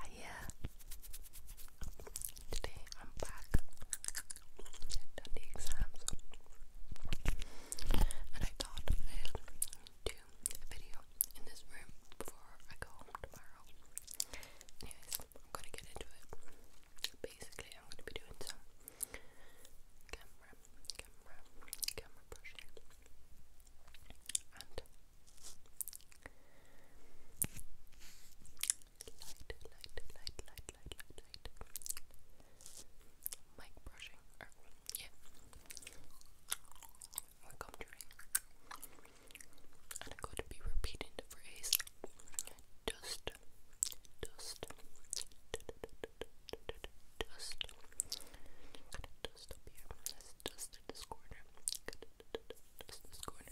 Ah, yeah, Today I'm back. I've done the exams. And I thought I'll do a video in this room before I go home tomorrow. Anyways, I'm gonna get into it. Basically, I'm gonna be doing some camera, camera, camera brushing light, light, light, light, light, light. Mic brushing, yeah, or comforting, and I'm going to be repeating the phrase dust, dust, dust. Dust. dust just in this corner. Just this corner.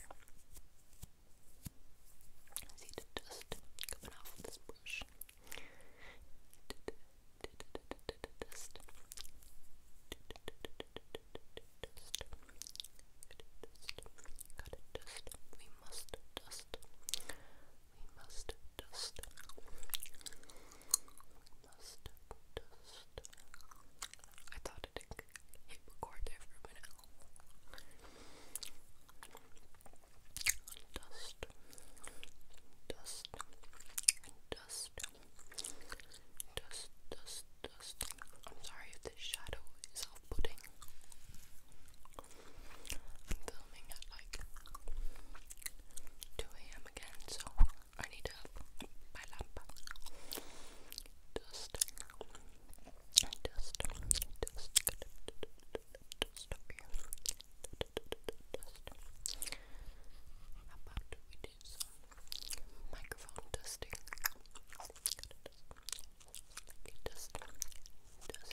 see the dust coming off this brush. Dust. dust. We must dust. We must dust dust, dust. I thought it hit record there for a minute. Dust, dust, dust, dust, dust, dust. I'm sorry if this shadow is off-putting. I'm filming at like 2 a.m. again, so I need my lamp. Dust. Dust. Dust. Dust How about we do some microphone dusting? Dust. Dust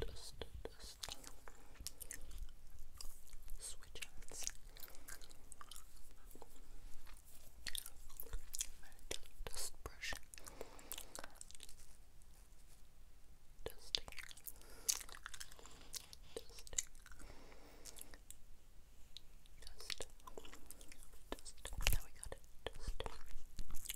dust, dust. Switch outs. Dust brush. Dusting. Dusting. Dust. Dust. Now we got it. Dust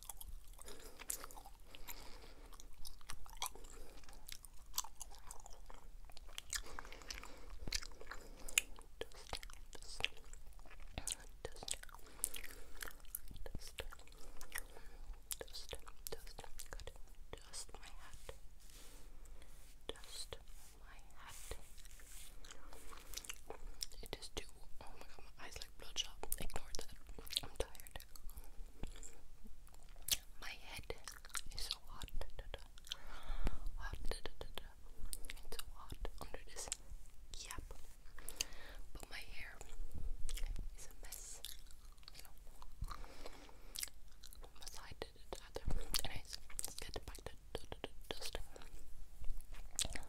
Dust my hat. Dust my hat. It is too. Oh my god, my eyes like bloodshot. Ignore that. I'm tired. My head is so hot. Hot. It's so hot under this cap. But my hair is a mess. So once anyways, let's get back to dusting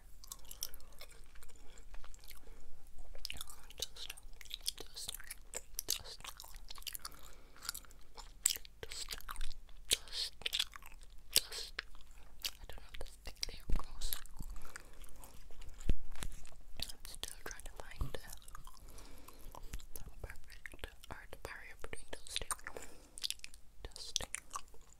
Just, just, just, just, just, just. I don't know if this thing there goes. I'm still trying to find the perfect art barrier between those two. Dusting,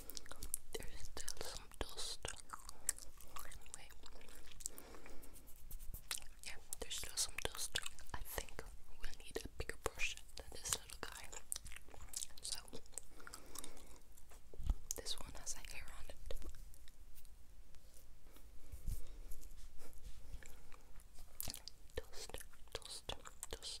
there's still some dust. Anyway. Yeah, there's still some dust. I think we'll need a bigger brush than this little guy. So, this one has a hair on it. Dust, dust, dust, dust,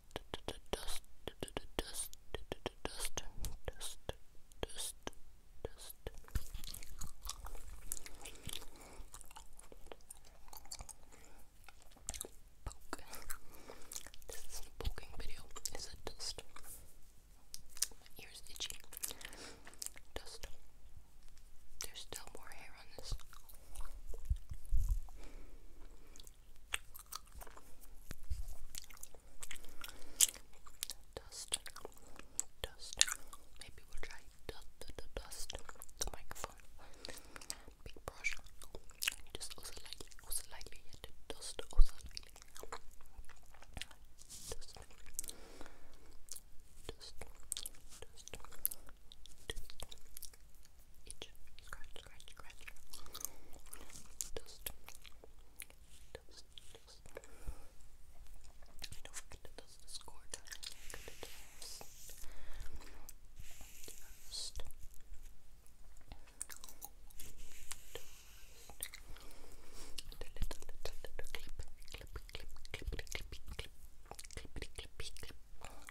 dust, dust. is a poking video. It's a dust. ears itchy. Dust. There's still more hair on this. Dust, dust. Maybe we'll try dust, dust the microphone. Big brush. Just also lightly, also lightly. Yet dust, also itch, scratch, scratch, scratch. Dust, dust, dust. I do little, little, little clip, clip, clip, clip, clip, clip, clip, clip, clip, clip, clip dust, dust,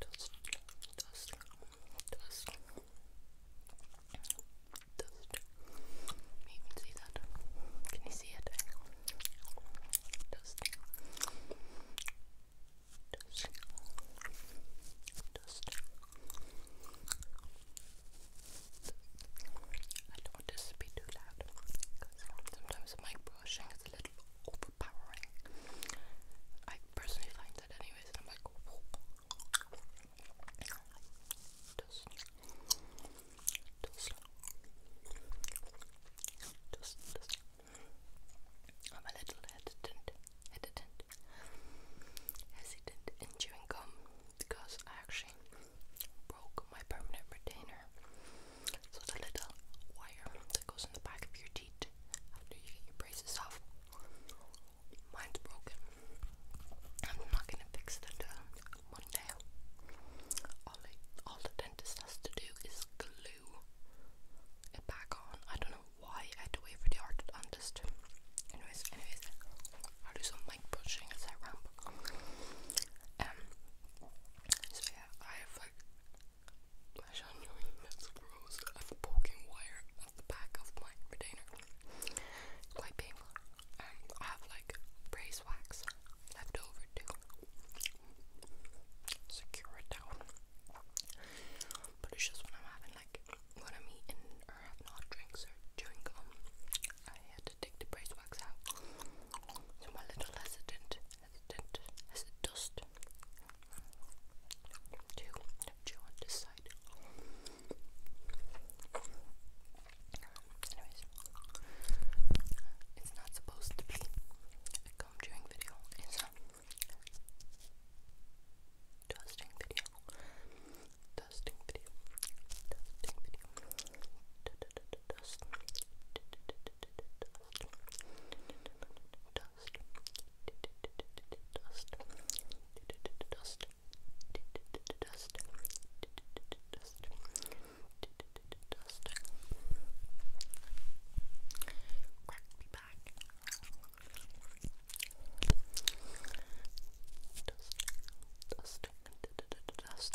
dust, dust. Dust. You can see that. Can you see it? Dust. Dust. Dust. I don't want this to be too loud because sometimes my brushing is a little overpowering. I personally find that anyways, and I'm like, I'm a little hesitant, hesitant, hesitant in chewing gum because I actually broke my permanent retainer so it's little wire that goes in the back of your teeth after you get your braces off. Mine's broken. I'm not gonna fix it until uh, Monday. All, all the dentist has to do is glue it back on. I don't know why I had to wait for the orthodontist. Anyways, anyways, I'll do some mic brushing as I ramble. Um, so yeah, I have that's gross. I'm poking wire at the back of my retainer. quite painful. I have like brace wax left over too. Secure it down. But it's just when I'm having like when I'm eating or have not drinks or chewing gum, I hit take the brace wax out. So i little hesitant, hesitant, as dust. Two, two on this side. Anyways, it's not supposed to be a comb video, it's video. Dusting video. Dusting video dust, dust, dust, dust, Crack me back. Dust, dust, dust, dust,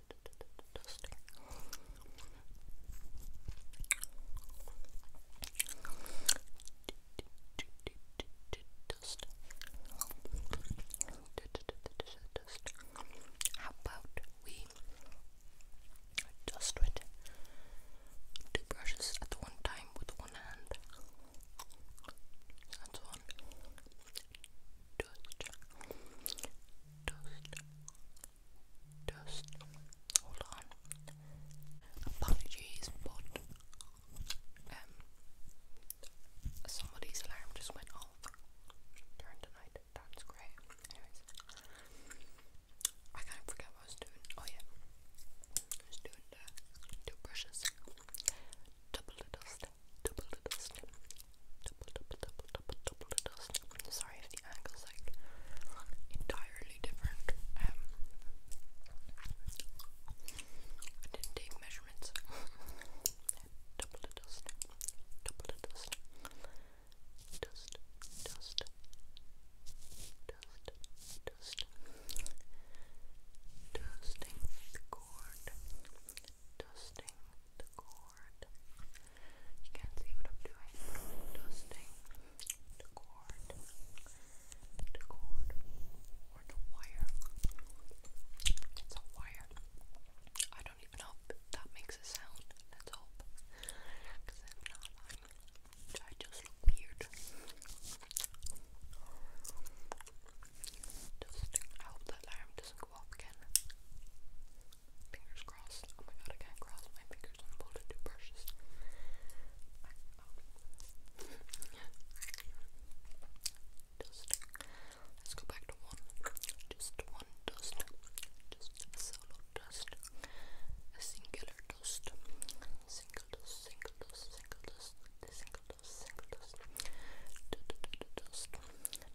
Dusting. Dust. Dust. How about we dust with two brushes at one time with one hand? That's one. Dust dust, dust. Hold on. Apologies, but um, somebody's alarm just went off during the night. That's great. Anyways, I kind of forget what I was doing. Oh yeah, I was doing the two brushes, double dust snip, double little snip, double, double, double, double, double little snip. Sorry if the angle's like entirely different. Um, I didn't take measurements. double little snip, double little snip. Dust, dust, dust, dust. Dusting the cord dusting the cord. You can't see what I'm doing, dusting the cord, the cord, or the wire. It's a wire. I don't even know if that makes a sound. Let's hope. Because if not, i I just look weird. Just, I hope that alarm doesn't go off again. Fingers crossed. Oh my god, I can't cross my fingers on both of two Let's go back to one. Just one dust. Just a solo dust. A singular dust. Single dust, single dust, single dust, single dust, single dust. Dust, dust, dust, dust,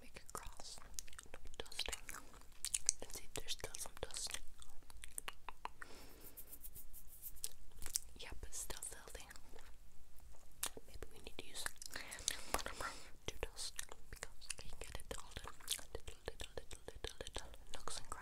Make it cross. No dusting. Let's see there's still some dust. Yep, it's still filthy. Maybe we need to use to dust because we can get it all done. Little, little, little, little, little nooks and crannies.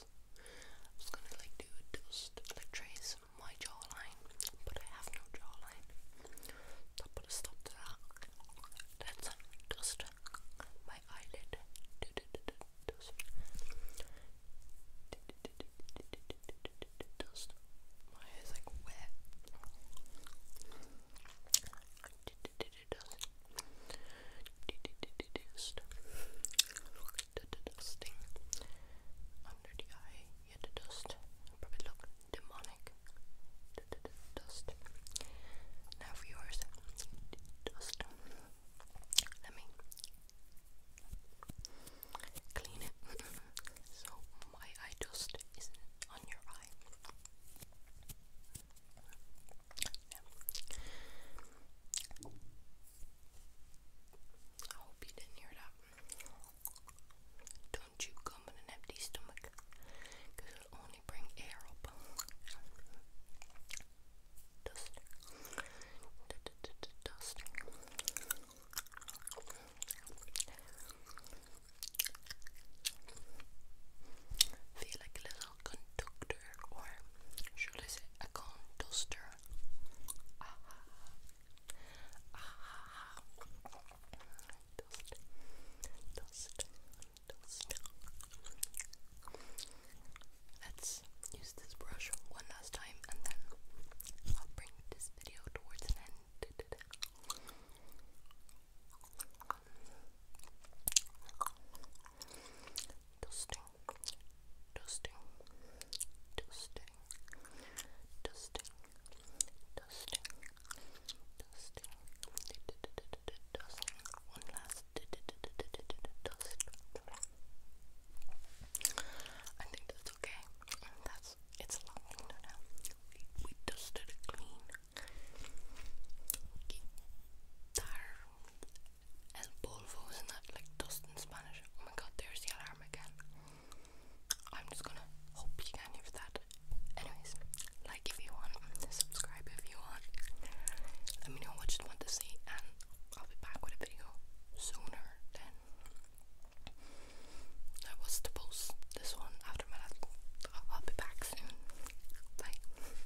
I was gonna like do a dust, like trace my jawline, but I have no jawline. So I put a stop that. Let's dust my eyelid. Do, do, dust. My hair's like wet. Uh, dust. dusting uh, uh, under the eye. Yeah, the dust. Probably look demonic. dust. Now for yours. Dust. Let me clean it. so my eye dust isn't on your eye. I hope you didn't hear that. Don't chew gum on an empty stomach because it'll only bring air up. Dust. D Dust. Feel like a little conductor, or should I say a conduster? Ah, Let's use this brush one last time and then I'll bring this video towards an end. Dusting, dusting, dusting, dusting, dusting, dusting, dusting, one last dust. I think that's okay. That's it's a long window now. We, dusted clean. Okay. And polvo, isn't that like dust in Spanish? Oh my god, there's the alarm again. I'm just gonna hope you can hear that. Anyways, like if you want, subscribe if you want. Let me know what you want to see, and I'll be back with a video sooner than I was to post this one after my last. I'll be back soon. Bye.